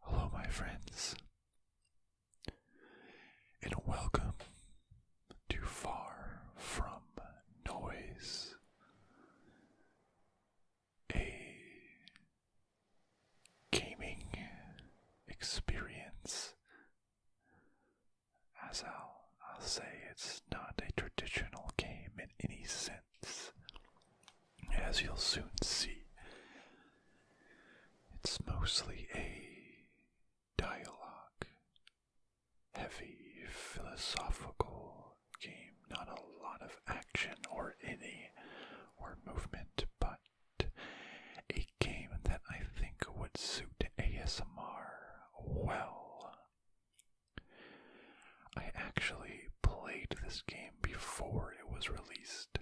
Hello, my friends, and welcome to Far From Noise, a gaming experience as I'll, say, it's not a traditional game in any sense, as you'll soon see. It's mostly a dialogue, heavy, philosophical game, not a lot of action or any or movement, but a game that I think would suit ASMR well. I actually played this game before it was released.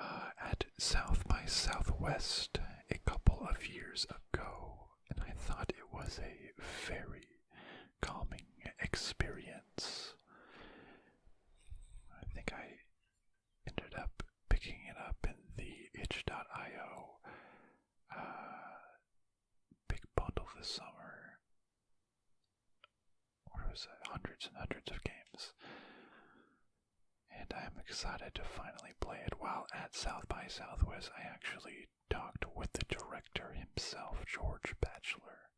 Uh, at South by Southwest a couple of years ago, and I thought it was a very calming experience. I think I ended up picking it up in the itch.io uh, big bundle this summer. Or was hundreds and hundreds of games? And I'm excited to finally play it. While at South by Southwest, I actually talked with the director himself, George Batchelor.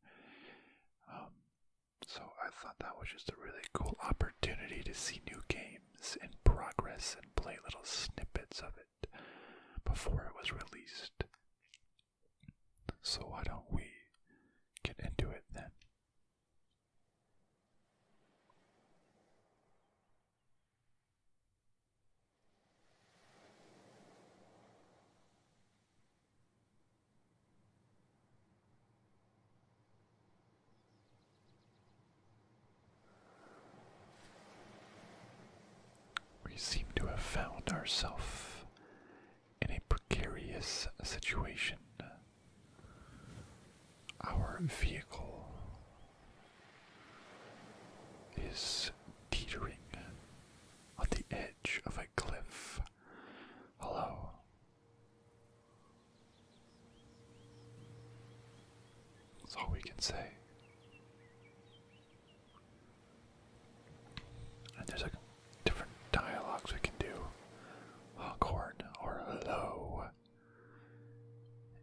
Um, so I thought that was just a really cool opportunity to see new games in progress and play little snippets of it before it was released. So why don't we get into it then? We seem to have found ourselves in a precarious situation. Our vehicle is teetering on the edge of a cliff. Hello. That's all we can say. And there's like different dialogues we can do. Longhorn or hello.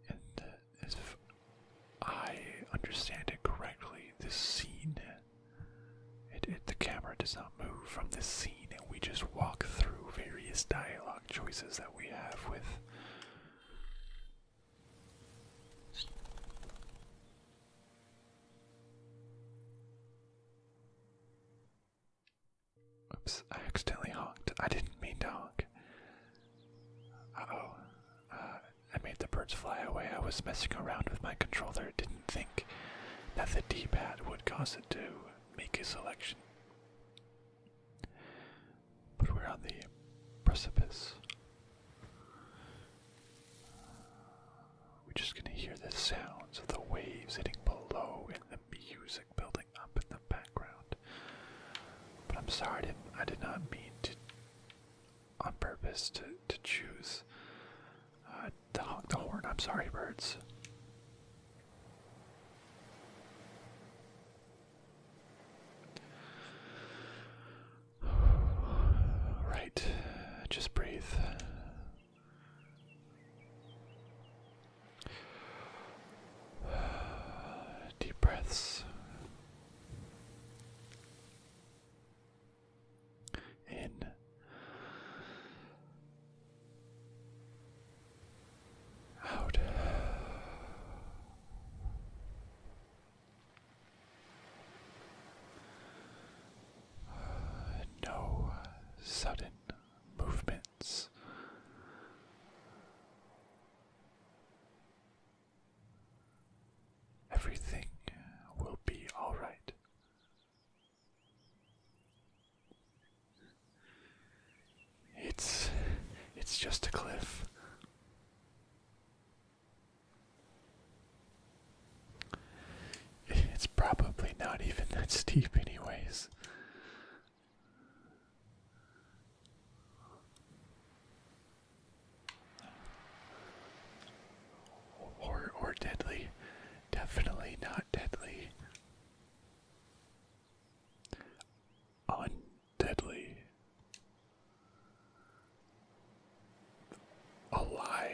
And if I understand it correctly, this scene, the camera does not move from this scene, and we just walk through various dialogue choices that we have with Oops, I accidentally honked. I didn't mean to honk. Uh oh. I made the birds fly away. I was messing around with my controller. Didn't think that the D pad would cause it to make a selection. But we're on the precipice. We're just gonna hear the sounds of the waves hitting below and the music building up in the background. But I'm sorry, I, didn't, mean to, on purpose, to, choose uh, to honk the horn. I'm sorry, birds. Right, just breathe. Deep breaths. In out. No sudden movements. Everything will be all right. It's it's just a cliff. It's probably not even that steep anyways. Or or deadly. Definitely not deadly undeadly. Alively.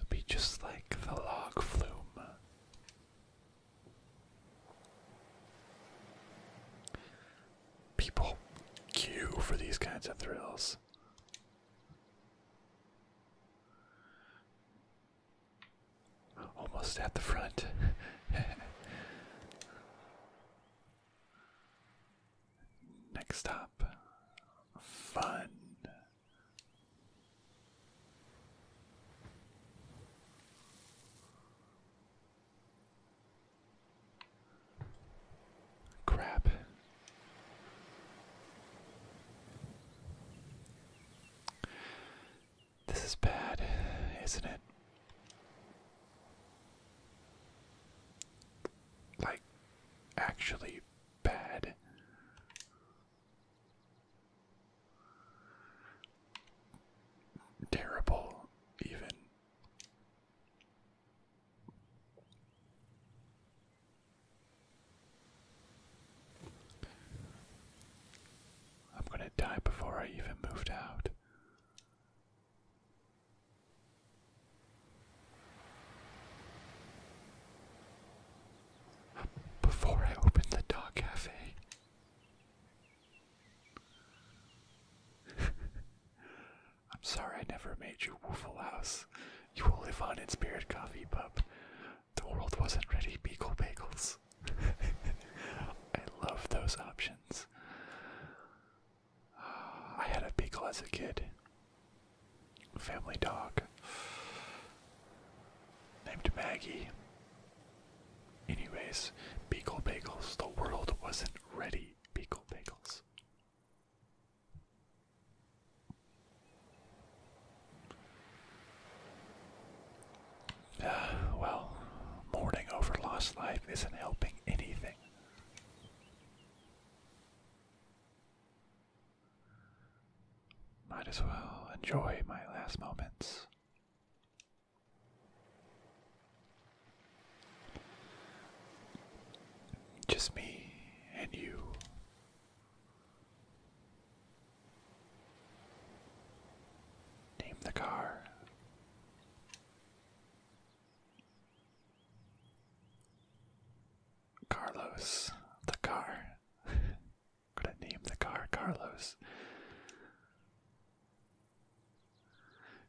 it be just like the log flume. People queue for these kinds of thrills. Almost at the front. Next stop. Fun. Crap. This is bad, isn't it? Like, actually bad. Terrible, even. I'm gonna die before I even moved out. Before I opened the dog cafe. I'm sorry I never made you Woofle House. You will live on in Spirit Coffee Pub. The world wasn't ready, Beagle Bagels. I love those options. I had a beagle as a kid. Family dog. Named Maggie. Anyways, Beagle Bagels. The world wasn't ready, Beagle Bagels. Uh, well, mourning over lost life isn't helping anything. Might as well enjoy my last moments. Just me and you. Name the car. Carlos, the car. i gonna name the car Carlos.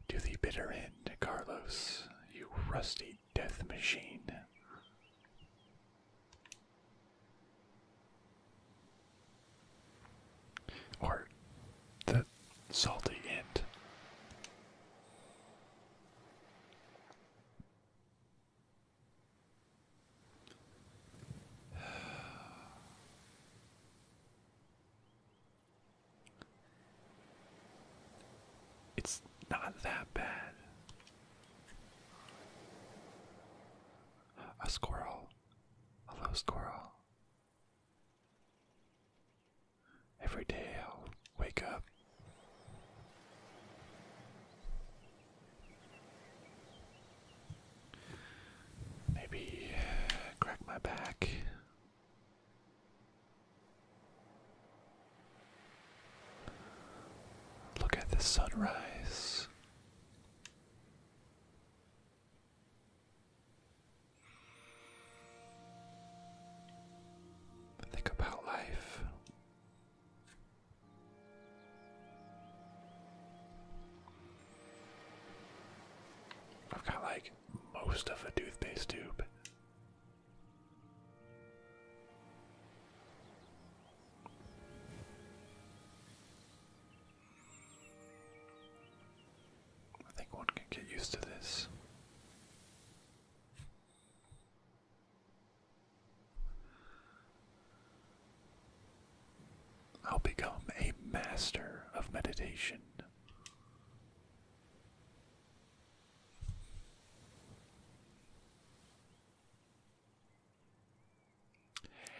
To the bitter end, Carlos, you rusty death machine. Or the salty ant. It's not that bad. A squirrel. Hello, squirrel. Every day I'll wake up. Maybe uh, crack my back. Look at the sunrise. Think about life. I've got like most of a toothpaste tube I think one can get used to this. I'll become a master of meditation.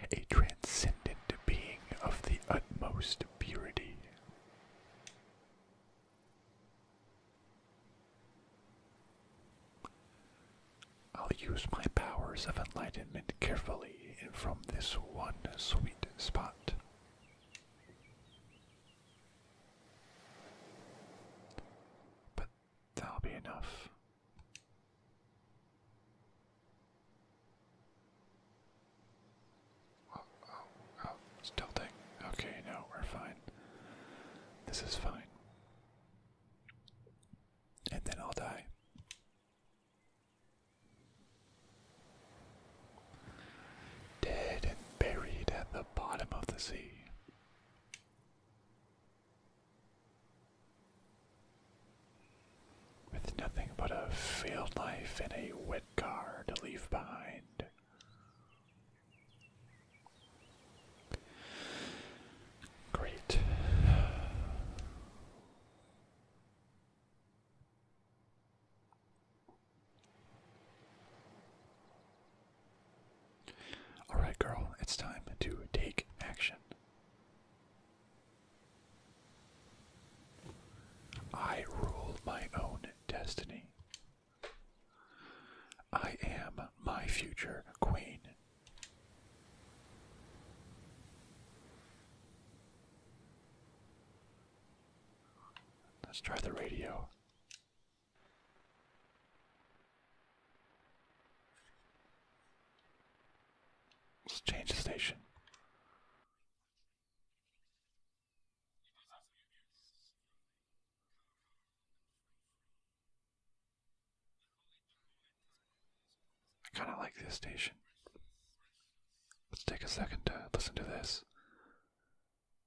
A transcendent being of the utmost purity. I'll use my powers of enlightenment carefully and from this one sweet spot. But that'll be enough. Oh, oh, oh, it's tilting. Okay, no, we're fine. This is fine. And then I'll die. Dead and buried at the bottom of the sea. With nothing but a field life and a wet car to leave behind. Great. Alright, girl, it's time to take action. I rule my own destiny. I am my future queen. Let's try the radio. Let's change the station. I kind of like this station. Let's take a second to listen to this.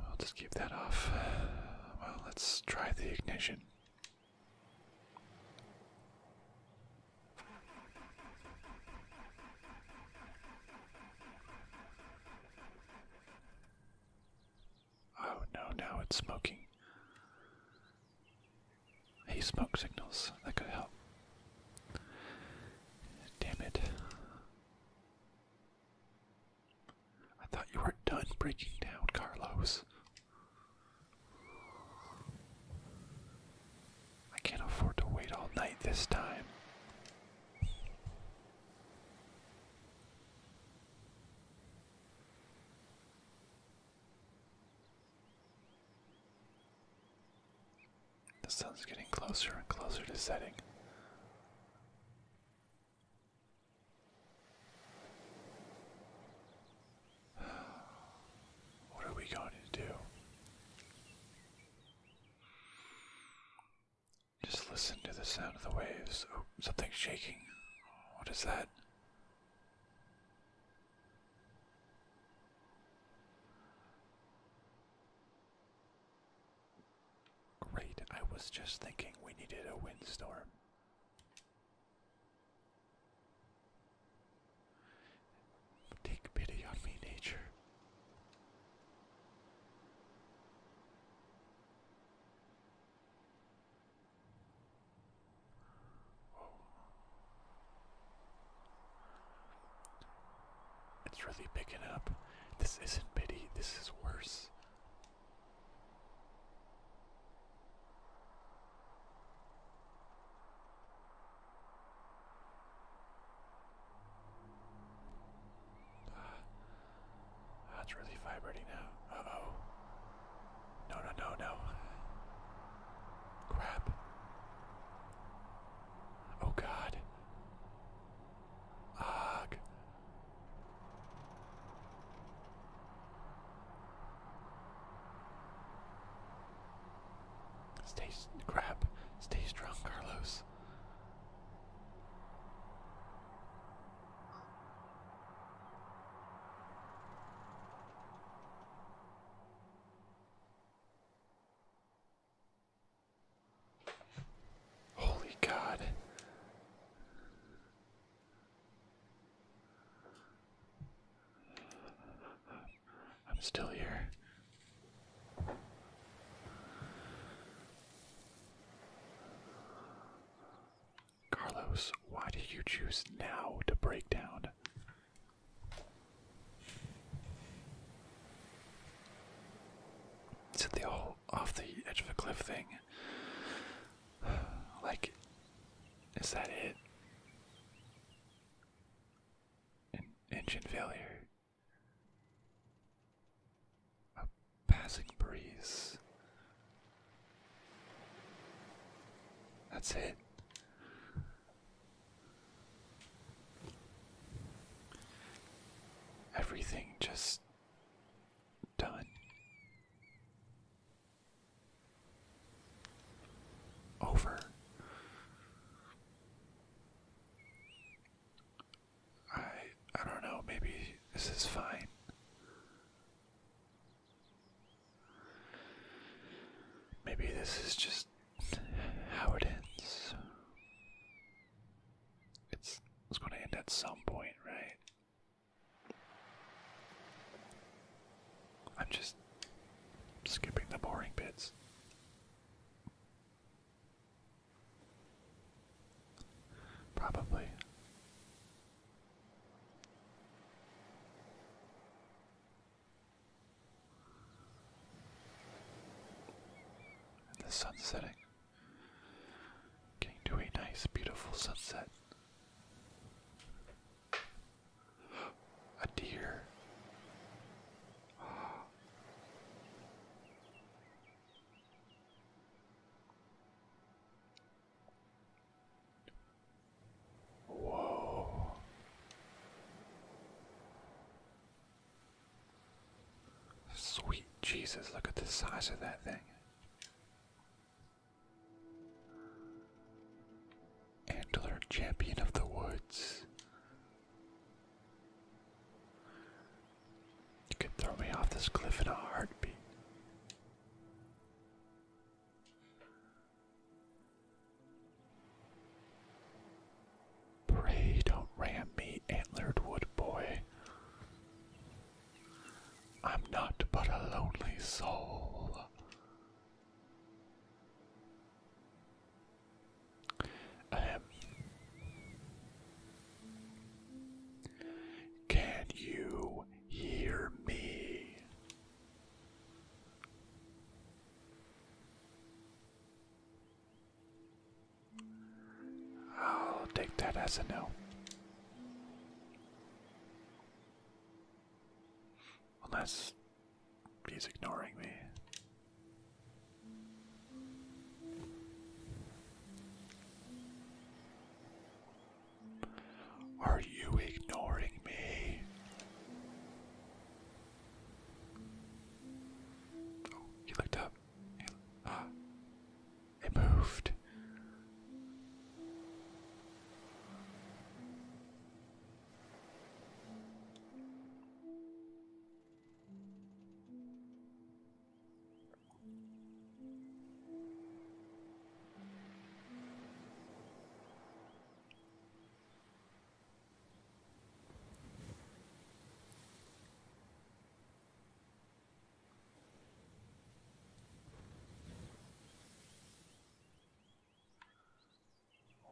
I'll just keep that off. Well, let's try the ignition. Oh no, now it's smoking. Hey, smoke signals, that could help. Damn it. I thought you were done breaking down, Carlos. I can't afford to wait all night this time. The sun's getting closer and closer to setting. What are we going to do? Just listen to the sound of the waves. Oh, something's shaking. What is that? Great, I was just thinking we needed a windstorm. Take pity on me, nature. It's really picking up. This isn't pity, this is worse. That's ah, really vibrating now. Uh oh. No, no, no, no. Crap. Oh god. Stay crap. Stay strong, Carlos. Holy God. I'm still here. Carlos, why did you choose now to break down? said the whole off the edge of a cliff thing. Like, is that it? An engine failure. A passing breeze. That's it. Everything just done. Over. I I don't know, maybe this is fine. Maybe this is just how it ends. It's it's going to end at some point, right? I'm just skipping the boring bits. Probably. the sun's setting. Getting to a nice, beautiful sunset. A deer. Whoa. Sweet Jesus, look at the size of that thing. Antler Champion of the Woods. You could throw me off this cliff in a heartbeat. Pray don't ram me, antlered wood boy. I'm not but a lonely soul. Ahem. Um, can you hear me? I'll take that as a no. Unless he's ignoring me. Are you ignoring me? Oh, he looked up it moved.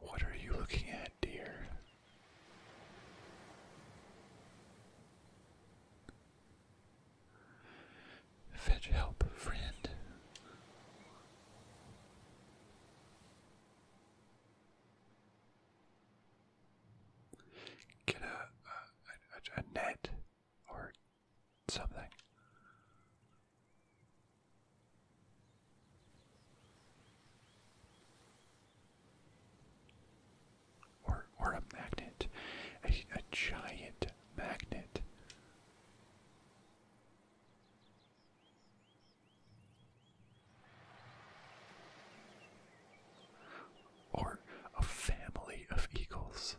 What are you looking at, dear? Fetch help, friend get a, a, net or something. Or, or a magnet, a, a giant magnet. Or a family of eagles.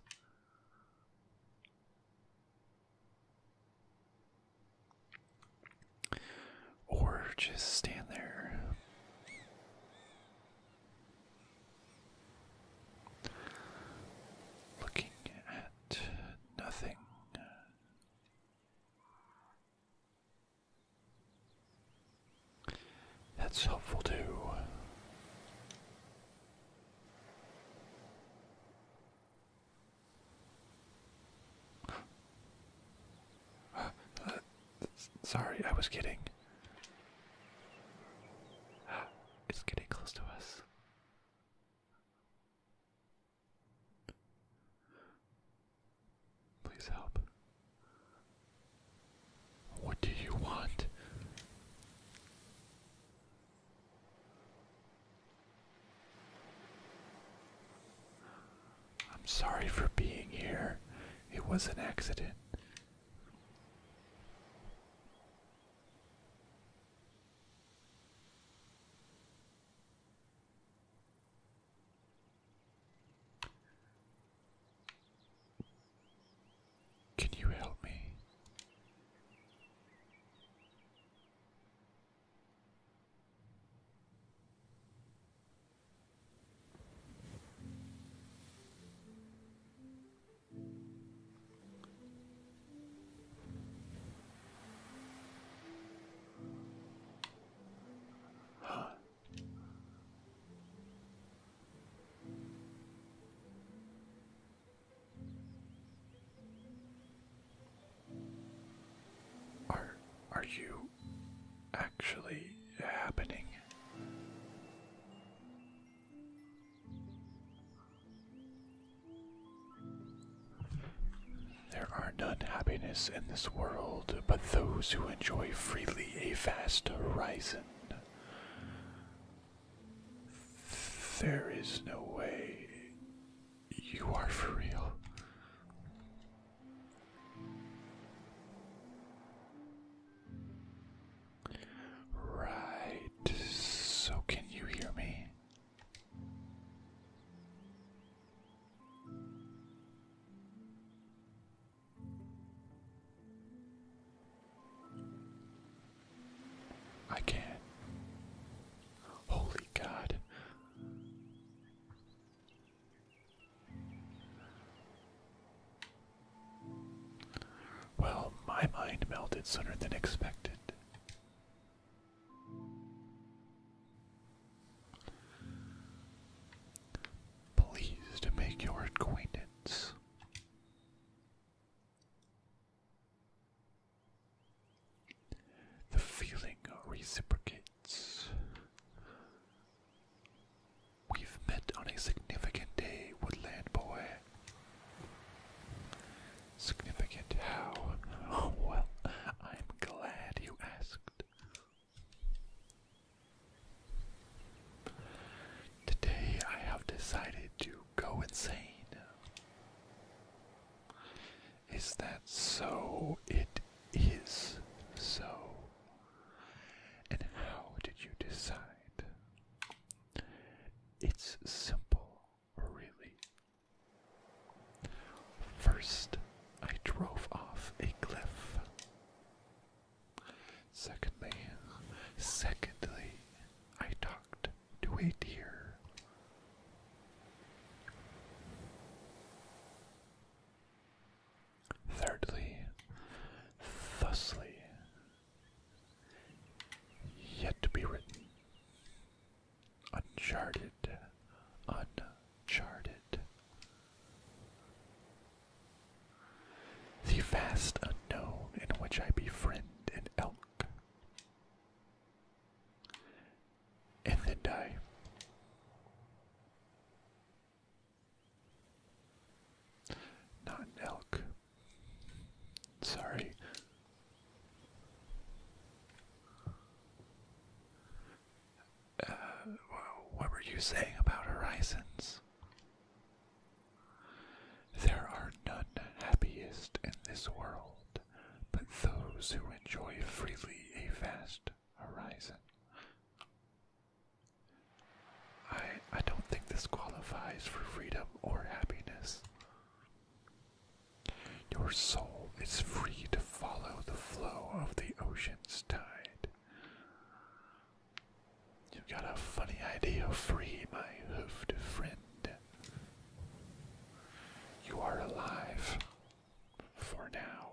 Or just stand there. Looking at nothing. That's helpful too. Sorry, I was kidding. It's getting close to us. Please help. What do you want? I'm sorry for being here. It was an accident. Can you help me? Huh. Are are you actually happening? There are none happiness in this world but those who enjoy freely a vast horizon. There is no way you are for real. Right, so can you hear me? I can. Holy God. Well, my mind melted sooner than expected pleased to make your acquaintance. The feeling reciprocates. We've met on a significant day, woodland boy. Significant how? well, I'm glad you asked. Today I have decided to go insane. Is that so? It is so. And how did you decide? It's simple, really. First, I drove off a cliff. Secondly, secondly, I talked to a deer. Thirdly, thusly, yet to be written, uncharted, uncharted. The vast unknown in which I befriend an elk. And then die. Not an elk. Sorry. Uh, what were you saying about horizons? There are none happiest in this world but those who enjoy freely a vast horizon. I I don't think this qualifies for freedom or happiness. Your soul is free to follow the flow of the ocean's tide. You've got a funny idea, free my hoofed friend. You are alive. For now.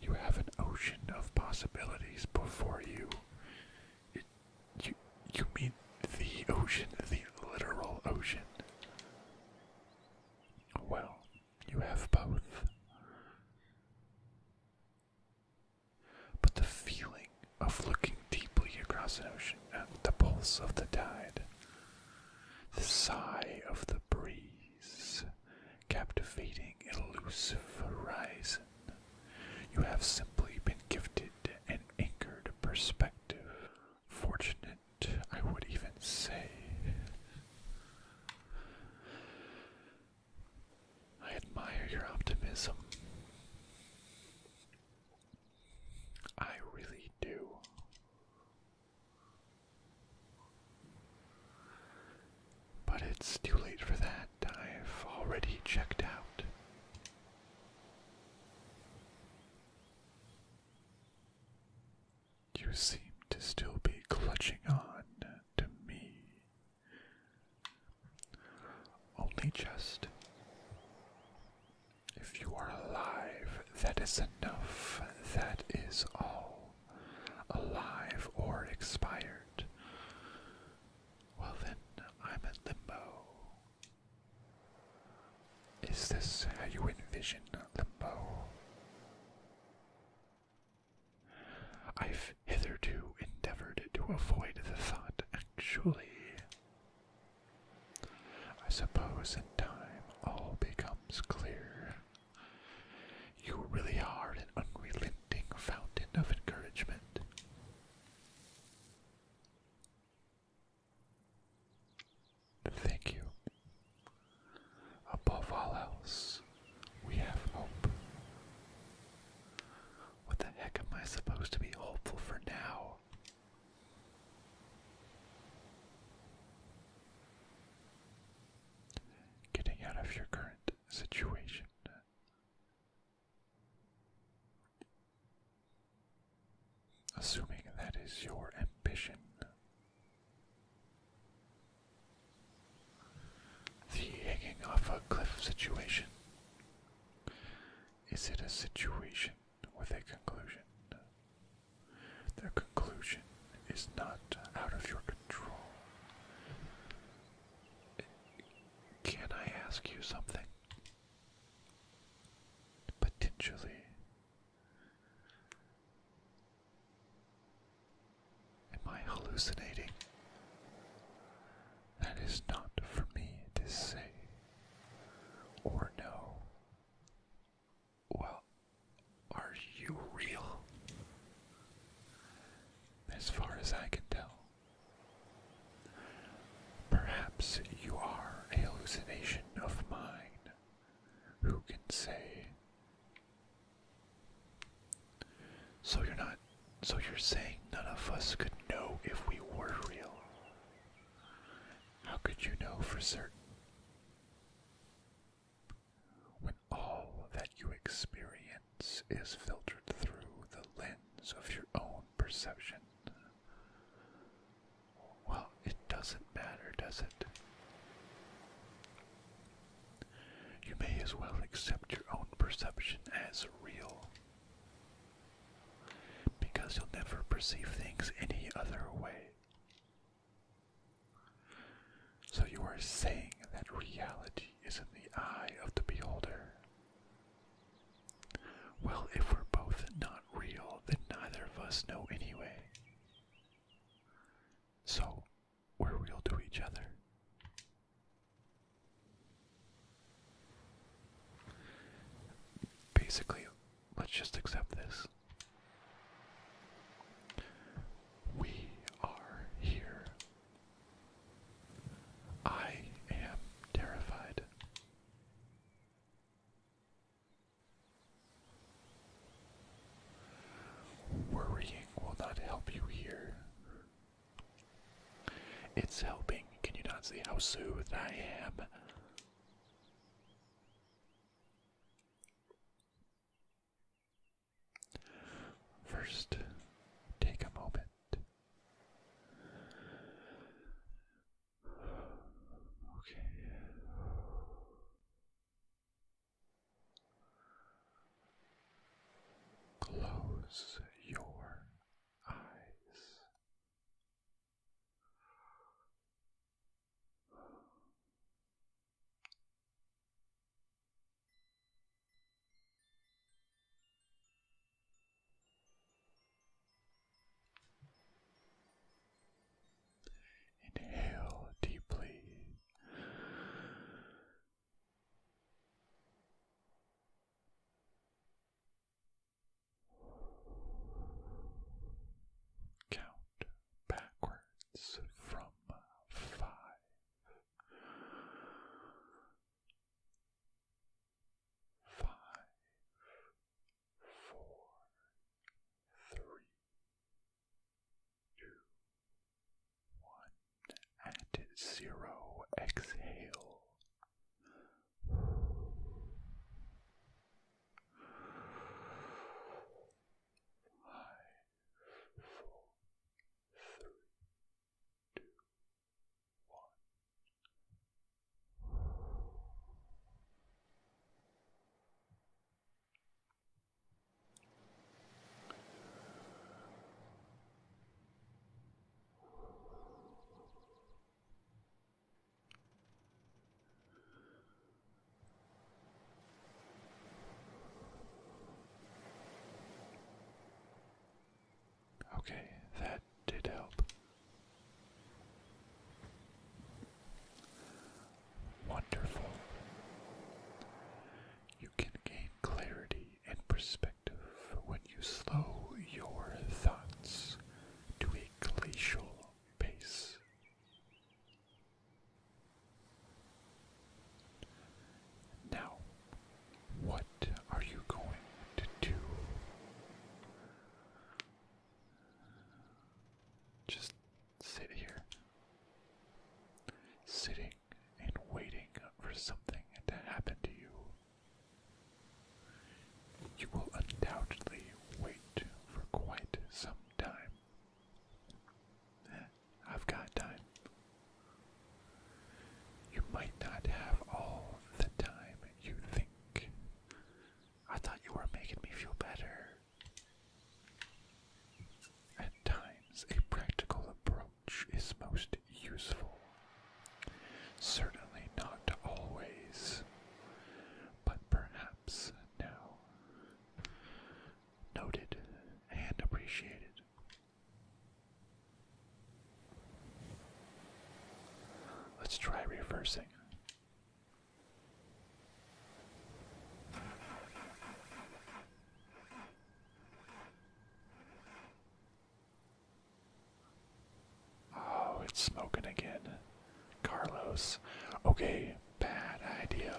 You have an ocean of possibilities before you. you, you mean the ocean, the literal ocean? Well, you have both. But the feeling of looking deeply across an ocean at the pulse of the tide, the sigh of the breeze, captivating, elusive horizon, you have simply been gifted an anchored perspective. Fortunate, I would even say. I admire your optimism. I really do. But it's too late for that. I've already checked out. You seem to still be clutching on to me. Only just. If you are alive, that is enough. That is all. Alive or expired. Well then, I'm at limbo. Is this how you envision limbo? I've hitherto endeavored to avoid the thought, actually. I suppose in time all becomes clear. You really are an unrelenting fountain of encouragement. Thank you. Above all else, we have hope. What the heck am I supposed to be hopeful for now? Getting out of your current situation. Assuming that is your ambition. The hanging off a cliff situation. Is it a situation with a conclusion? The conclusion is not out of your control. Can I ask you something? Potentially. Am I hallucinating? That is not for me to say or know. Well, are you real? As far as I can tell. Perhaps you are a hallucination of mine. Who can say so you're not. So you're saying none of us could know if we were real? How could you know for certain? When all that you experience is filtered through the lens of your own perception. Well, it doesn't matter, does it? You may as well accept your own perception as real. Because you'll never perceive things any other way. So you are saying that reality is in the eye of the beholder. Well, if we're both not real, then neither of us know anyway. So, we're real to each other. Basically, let's just accept this. We are here. I am terrified. Worrying will not help you here. It's helping. Can you not see how soothed I am? First, take a moment. Okay. Close your eyes. Inhale deeply Count backwards from five. Five, four, three, two, one at zero. Exhale. Five, four, three, two, one. Okay, that did help. Wonderful. You can gain clarity and perspective when you slow your thoughts to a glacial pace. Now, what are you going to do? Just sit here. Sitting waiting and waiting for something to happen to you. You will undoubtedly wait for quite some time. Eh, I've got time. You might not have all the time you think. I thought you were making me feel better. At times, a practical approach which is most useful. Certainly not always, but perhaps now. Noted and appreciated. Let's try reversing. Oh, it's smoking again. Carlos. Okay, bad idea.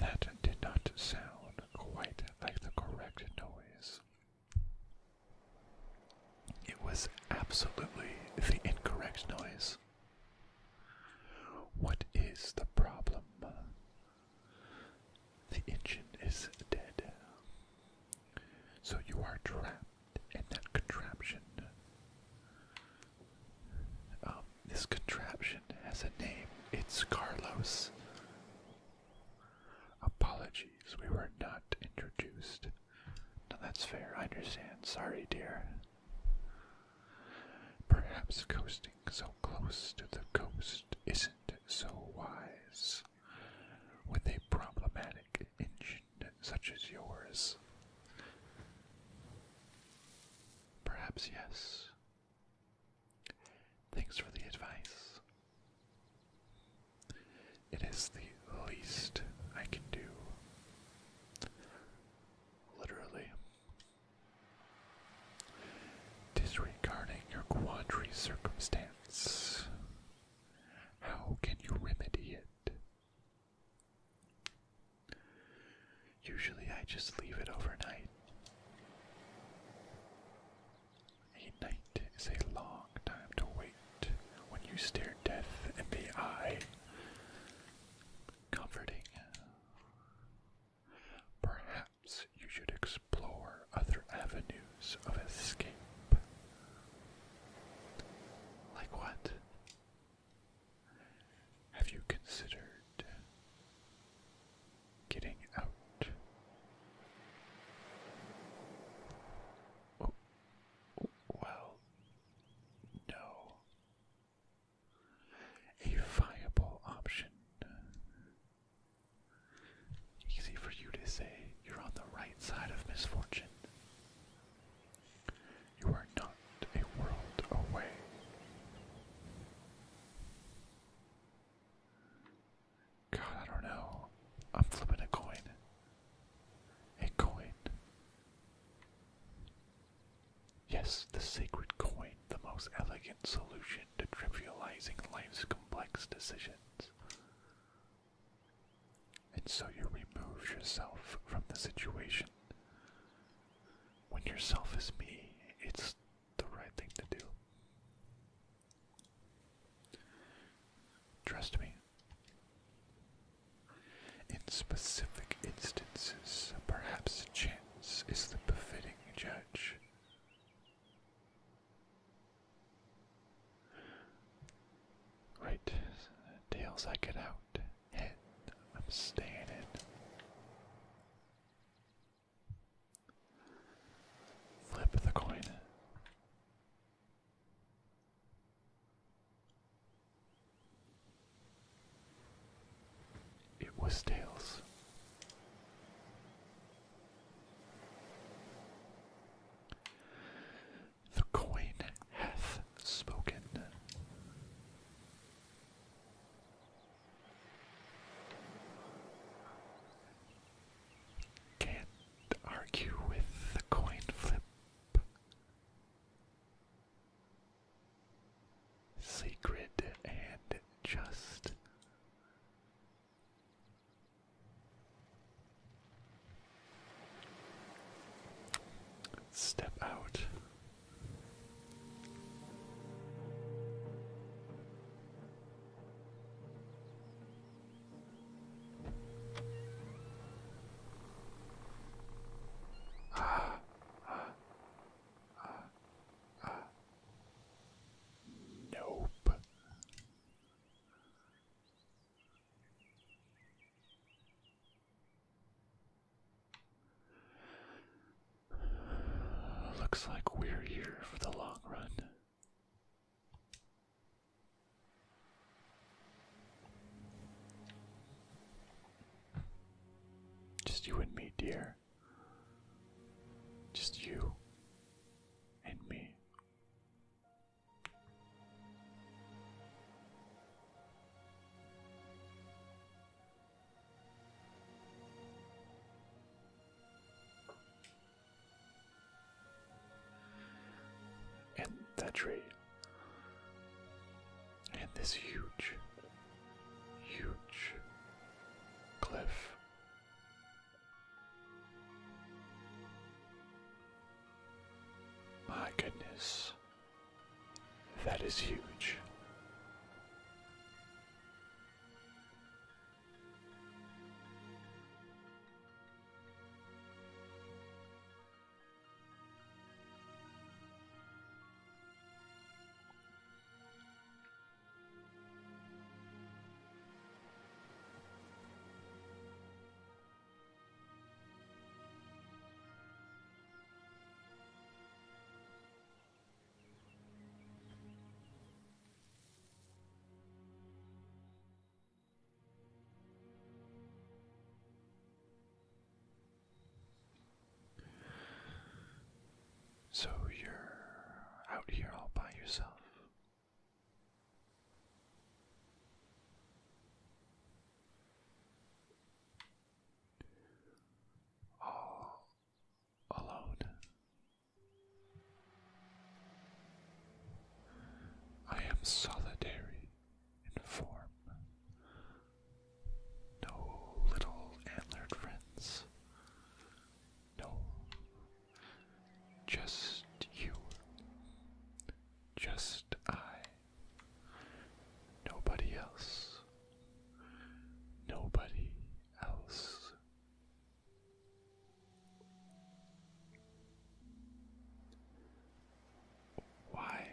That did not sound quite like the correct noise. It was absolutely the incorrect noise. What is the problem? The engine is dead. So you are trapped in that contraption. Um, this contraption has a name. It's Carlos. Apologies, we were not introduced. No, that's fair. I understand. Sorry, dear. Perhaps coasting so close to the coast is so wise with a problematic engine such as yours? Perhaps yes. Thanks for the advice. It is the least I can do. Literally. Disregarding your quandary circumstance, how can you remedy it? Usually I just leave it overnight. A night is a long time to wait when you stare death in the eye. Comforting. Perhaps you should explore other avenues of escape. Like what? Have you considered getting out? Oh, well, no. A viable option Easy for you to say you're on the right side of misfortune. You are not a world away. God, I don't know. I'm flipping a coin. A coin. Yes, the sacred coin, the most elegant solution to trivializing life's complex decisions. And so you remove yourself from the situation. When yourself is me, it's the right thing to do. Trust me. In specific instances, perhaps chance is the befitting judge. Right, tails I get out, head I'm staying in. Flip the coin. It was tails. The coin hath spoken. Can't argue with the coin flip. Sacred and just. Step out. Ah, ah, ah, ah. Nope. Looks like we're here for the long run. Just you and me, dear. Just you and me. And that tree. And this huge, huge cliff my goodness, that is huge. So you're out here all by yourself all alone. I am solitary in form. No little antlered friends, no just you. Just I. Nobody else. Nobody else. Why?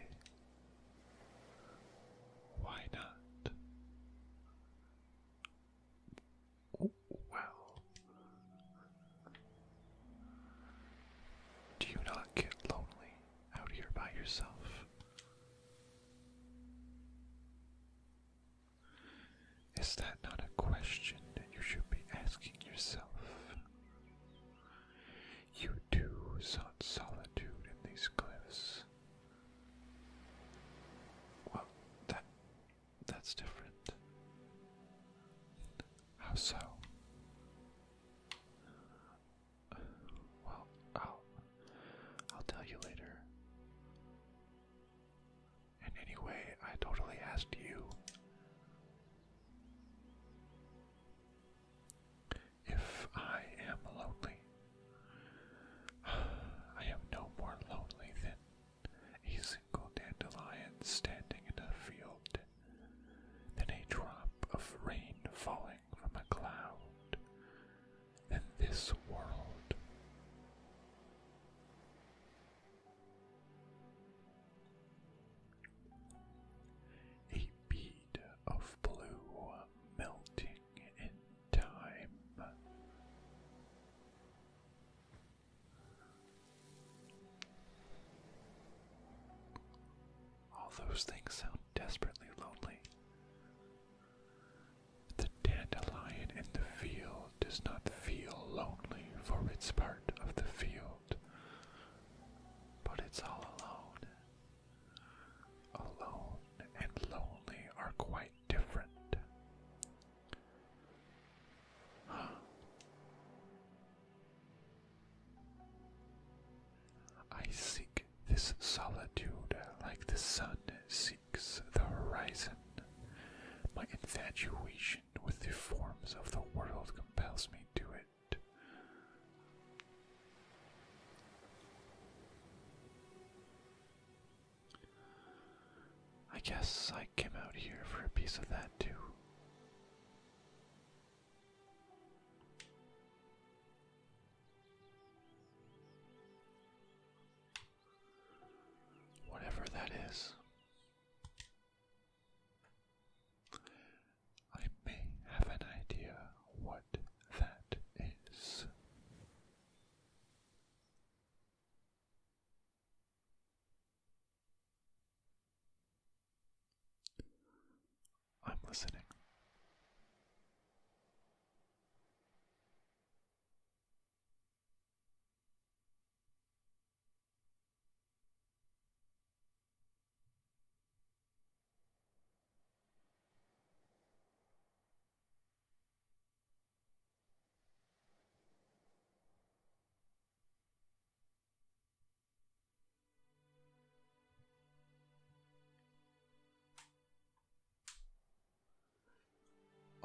Why not? well. Do you not get lonely out here by yourself? Is that not a question that you should be asking yourself? You too sought solitude in these cliffs. Well, that that's different. How so? well, I'll I'll tell you later. And anyway, I totally asked you if I am lonely. I am no more lonely than a single dandelion standing in a field, then a drop of rain falling from a cloud, then this world. A bead of blue melting in time. All those things sound desperately lonely. The dandelion in the field does not feel lonely, for it's part of the field, but it's all alone. Alone and lonely are quite different. I seek this solitude like the sun seeks the horizon. My infatuation with the forms of the world compels me to it. I guess I came out here for a piece of that too. Whatever that is, I may have an idea what that is. I'm listening.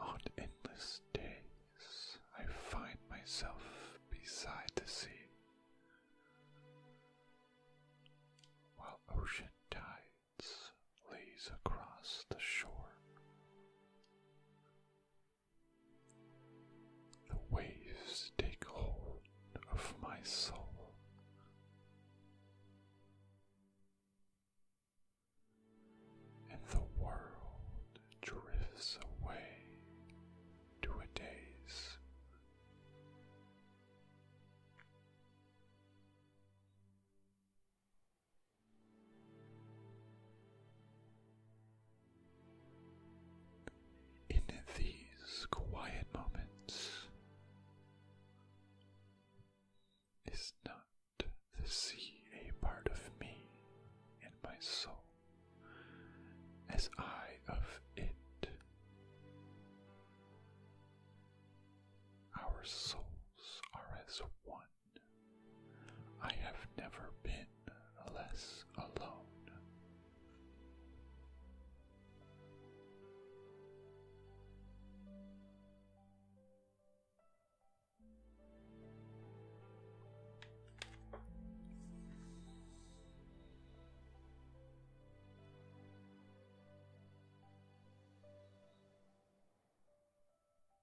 On endless days, I find myself beside the sea, while ocean tides lays across the shore. The waves take hold of my soul. And the world drifts away to a daze. In these quiet moments, is not the sea a part of me and my soul, as I of it? Our souls are as one. I have never been less alone.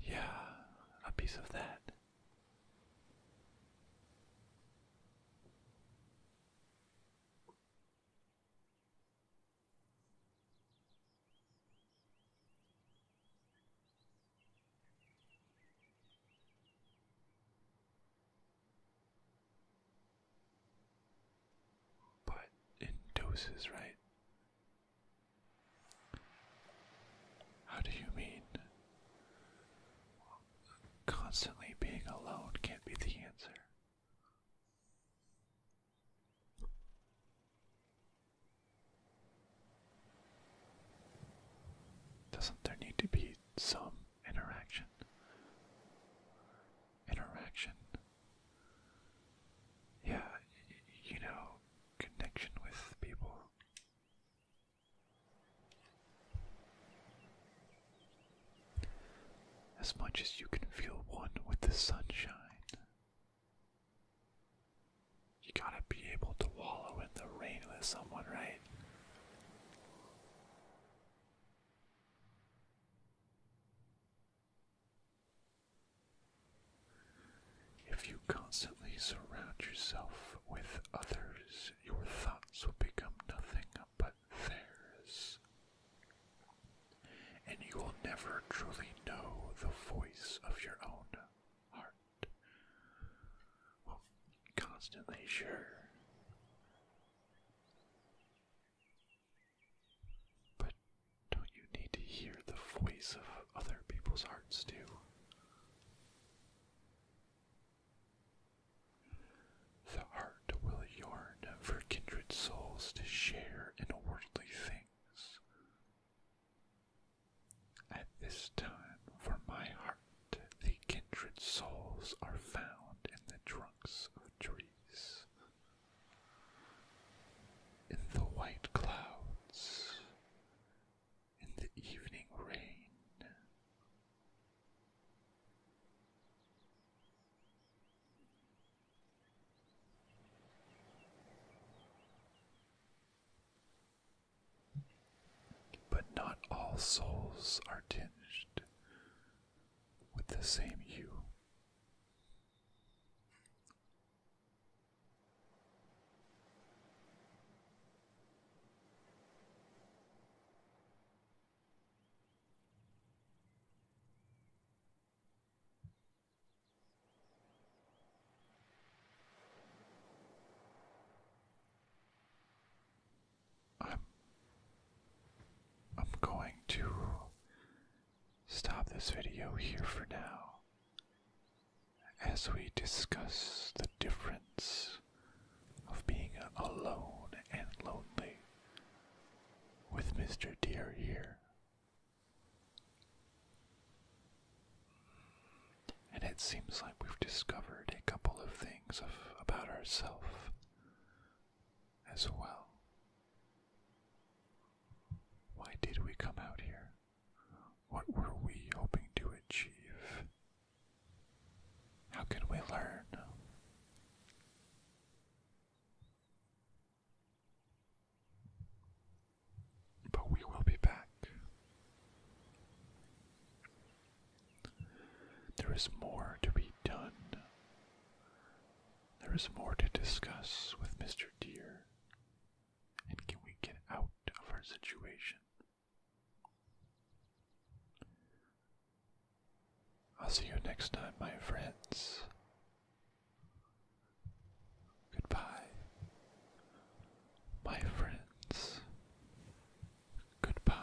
Yeah, a piece of that. But in doses, right? How do you mean? Constantly being alone can't be the answer. Doesn't there need to be some interaction? Interaction? Yeah, you know, connection with people. As much as you can feel one with the sunshine, you gotta be able to wallow in the rain with someone, right? If you constantly surround yourself with others, your thoughts will become nothing but theirs, and you will never truly know the voice of your own heart. constantly sure. But don't you need to hear the voice of other people's hearts too? The heart will yearn for kindred souls to share in worldly things. At this time, for my heart, the kindred souls are found in the trunks of trees, in the white clouds, in the evening rain. But not all souls are tinged with the same hue. I'm I'm going to stop this video here for now as we discuss the difference of being alone and lonely with Mr. Deer here. And it seems like we've discovered a couple of things about ourselves as well. Why did we come out here? What were we hoping to achieve? How can we learn? But we will be back. There is more to be done. There is more to discuss with Mr. Deer and can we get out of our situation? I'll see you next time, my friends. Goodbye, my friends. Goodbye.